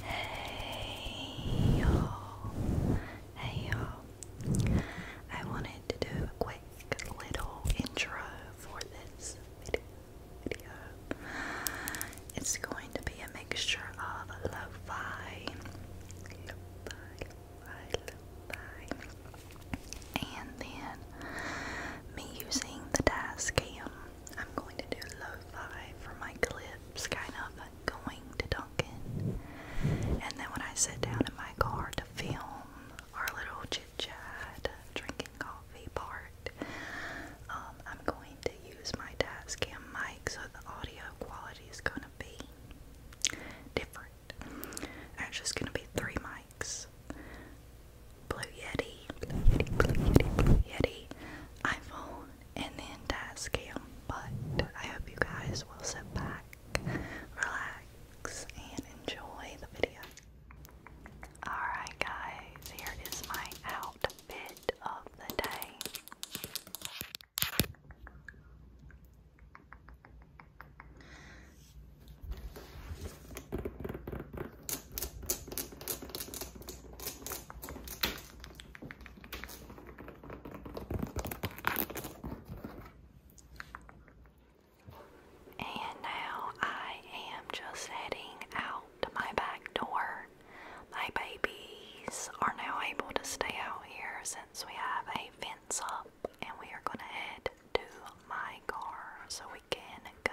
Hey yo, hey yo. I wanted to do a quick little intro for this video. It's going to be a mixture of lo and then me using the dashcam. I'm going to do low for my clips, kind of going to Duncan. And then when I sat down in my car to film our little chit chat, drinking coffee part, um, I'm going to use my cam mic so the audio quality is going to be different. Actually, it's going to be three mics. Blue Yeti, Blue Yeti, Blue Yeti, Blue Yeti, iPhone, and the entire scam. But I hope you guys will sit back, relax, and enjoy the video. Alright, guys, here is my outfit of the day. And now I am just heading out to my back door. My babies are now able to stay out here since we have a fence up, and we are going to head to my car so we can go.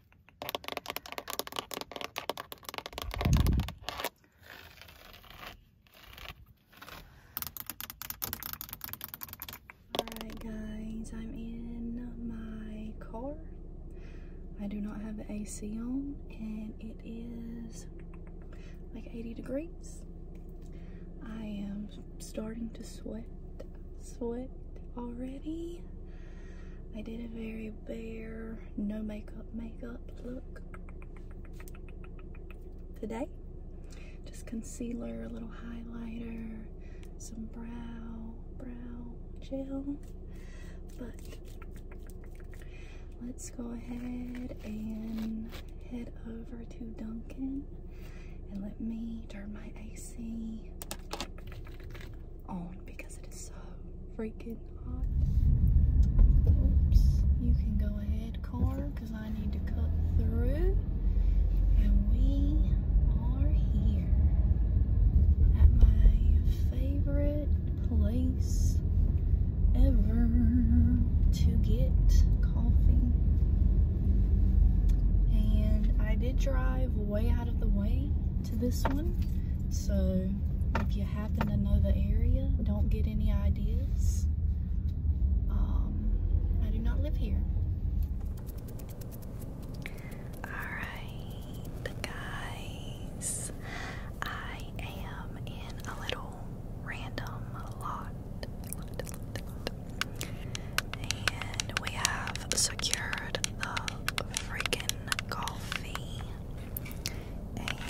Alright guys, I'm in my car. I do not have the AC on and it is like 80 degrees. I am starting to sweat, sweat already. I did a very bare, no makeup, makeup look. Today, just concealer, a little highlighter, some brow, brow gel. But let's go ahead and head over to Duncan and let me turn my AC on oh, because it is so freaking hot. Oops, you can go ahead, car, because I need to cut through. And we are here at my favorite place ever to get coffee. And I did drive way out of the way to this one. So if you happen to know the area, don't get any ideas. Um, I do not live here. Alright, guys. I am in a little random lot. And we have secured the freaking coffee. And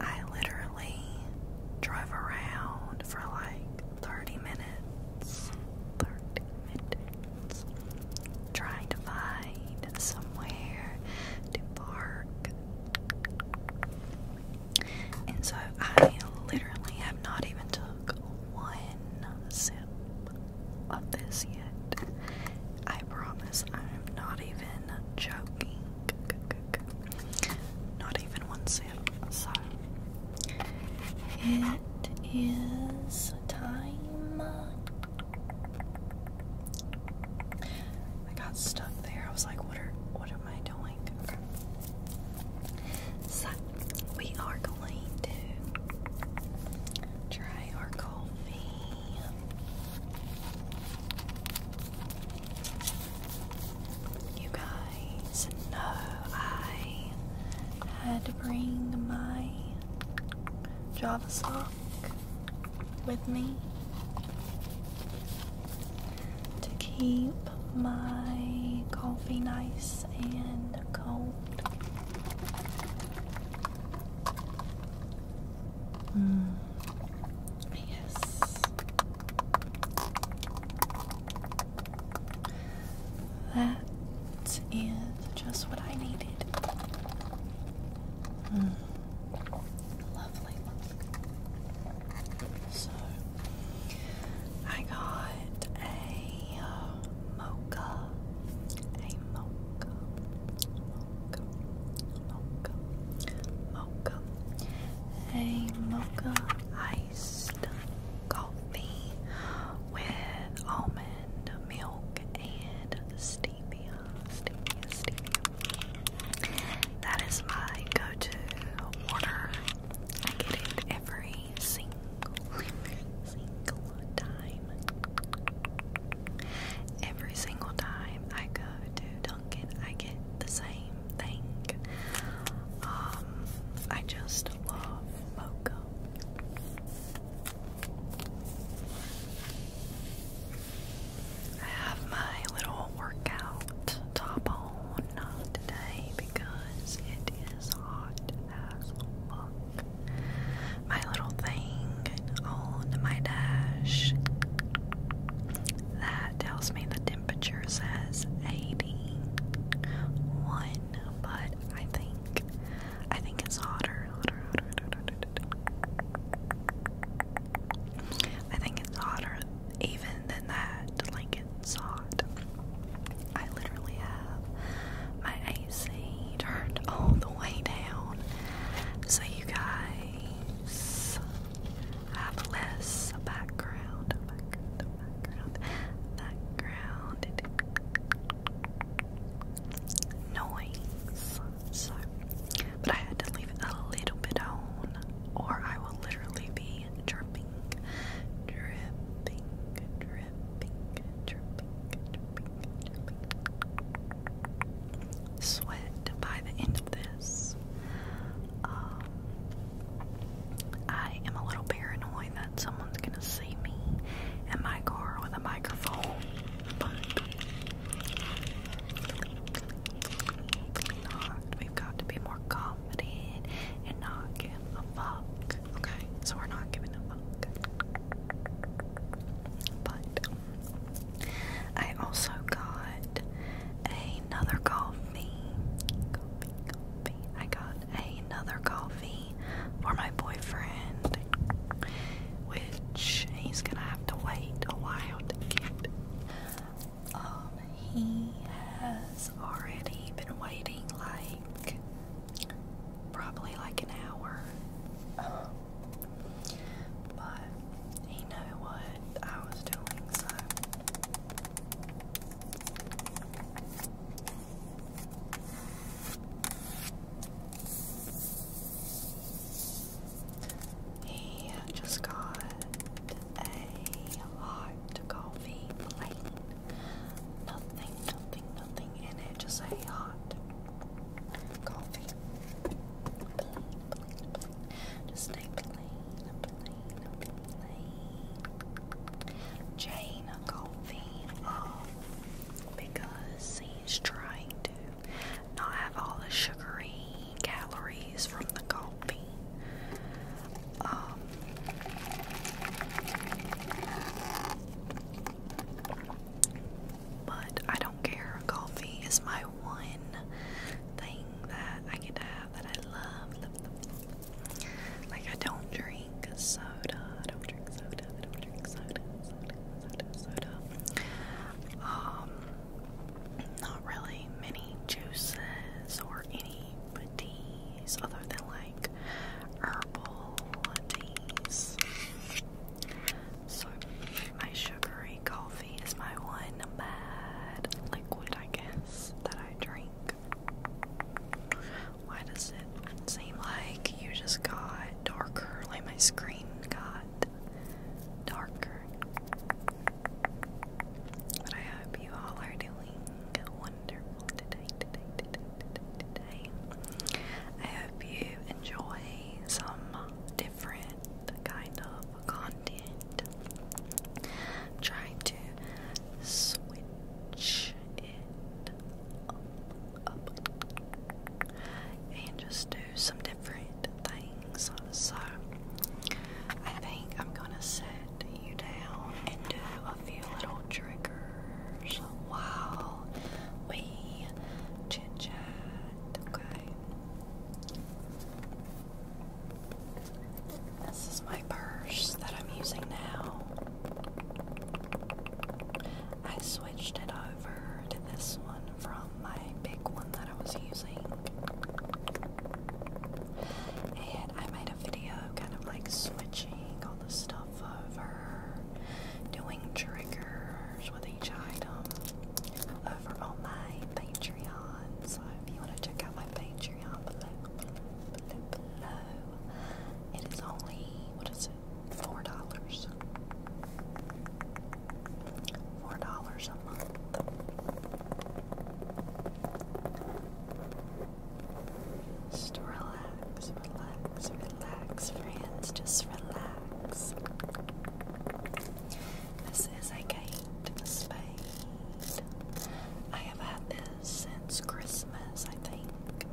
I literally drive around for like 30 minutes. 30 minutes. Trying to find somewhere to park. And so I literally have not even took one sip of this yet. I promise I'm not even joking. Not even one sip. So it is time. I got stuck there. I was like, what are what are. So, we are going to try our coffee. You guys know I had to bring my Java sock with me to keep my coffee nice and cold. Mm. Yes. That is just what I needed. Mm. So, I got a uh, mocha, a mocha, mocha, mocha, a mocha iced coffee with almond milk and stevia. That is my go-to order. I get it every single, time. Every single time I go to Dunkin', I get the same thing. Um, I just love mocha. I have my little workout top on today because it is hot as fuck. My little thing on my dash that tells me the temperature says 81, but I think I think it's hotter, hotter, hotter, hotter. I think it's hotter even than that. Like it's hot. I literally have my AC turned all the way down, so you guys have less background, background, background, background noise but I had to leave a little bit on, or I will literally be dripping, dripping, dripping, dripping, dripping, dripping. Sweat by the end of this. Um, I am a little paranoid that someone's gonna see me in my car with a microphone, We've got to be more confident and not give a fuck. Okay, so we're not giving a fuck. But I also got another coffee. I got another coffee for my boyfriend which he's gonna have to wait a while to get. Um, he has already been waiting like probably like an hour. but he knew what I was doing, he just got a hot coffee plain. Nothing, nothing, nothing in it. Just a hot coffee plain, Just a plain, plain, plain. Jane coffee. Oh, because He's trying to not have all the sugary calories from the coffee. Um, but I don't care. Coffee is my one thing that I can have that I love. Like I don't drink drink soda. I don't drink soda. I don't drink soda. Soda, soda, soda. Um, not really many juices or any teas other than like herbal teas. So, my sugary coffee is my one bad liquid, I guess, that I drink why does it seem like you just got darker? Like my screen got darker. But I hope you all are doing wonderful today, I hope you enjoy some different kind of content. trying to switch and just do some different things. So, I think I'm gonna set you down and do a few little triggers while we chit chat, okay? This is my purse that I'm using now. I switched it over to this one from my big one that I was using. And I made a video kind of like switching all the stuff over, doing triggers with each item over on my Patreon. So if you want to check out my Patreon below, it is only, what is it, $4. $4 a month. Just relax, relax, relax, friends. Just relax. This is a gate spade. I i have had this since Christmas, I think.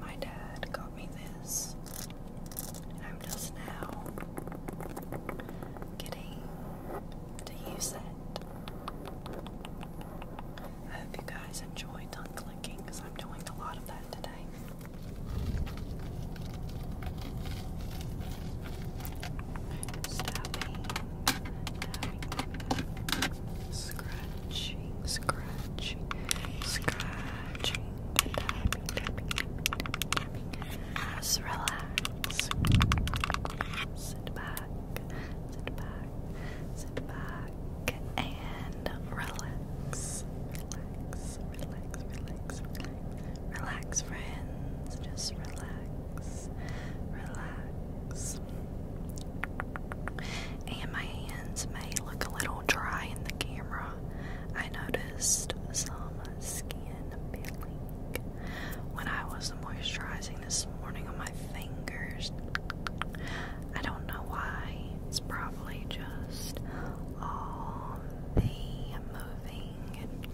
My dad got me this. And I'm just now getting to use it. I hope you guys enjoy tongue because I'm doing a lot of that today. scratching scratching, scratching, scratching, and tapping, tapping, tapping, tapping. Just relax. Sit back, sit back, sit back, and relax. Relax, relax, relax, relax. Relax, friends. Just relax relax. And my hands may look a little dry in the camera. I noticed some skin peeling when I was moisturizing this morning on my fingers. I don't know why. It's probably just all the moving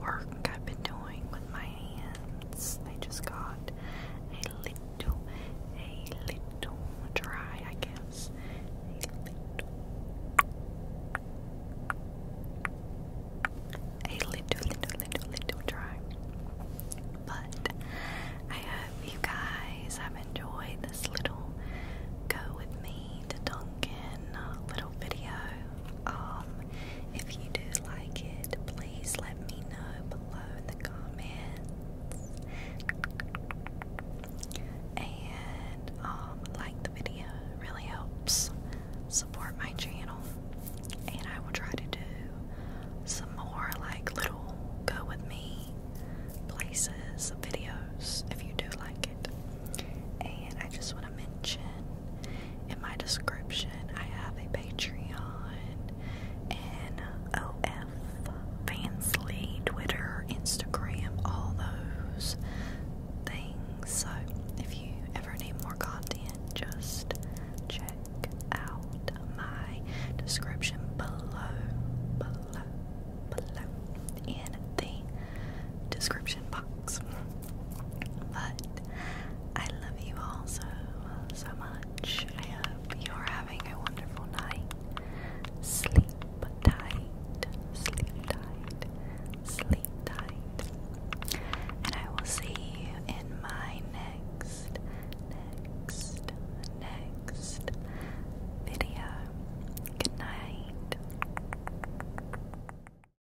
work I've been doing with my hands. They just got a little, a little dry, I guess. A little, little, little, little, dry. But I hope you guys have enjoyed this little go with me to Dunkin' little video. Um, if you do like it, please let me know below in the comments. And um, like the video really helps support my channel. And I will try to do some more like little go with me places videos if you do like it. And I just want to mention in my description. I have a Patreon and OF Fansley, Twitter, Instagram, all those things. So if you ever need more content, just check out my description below, below, below in the description box. But I love you also so, so much. I hope you're having a wonderful night. Sleep tight, sleep tight, sleep tight. And I will see you in my next, next, next video. Good night.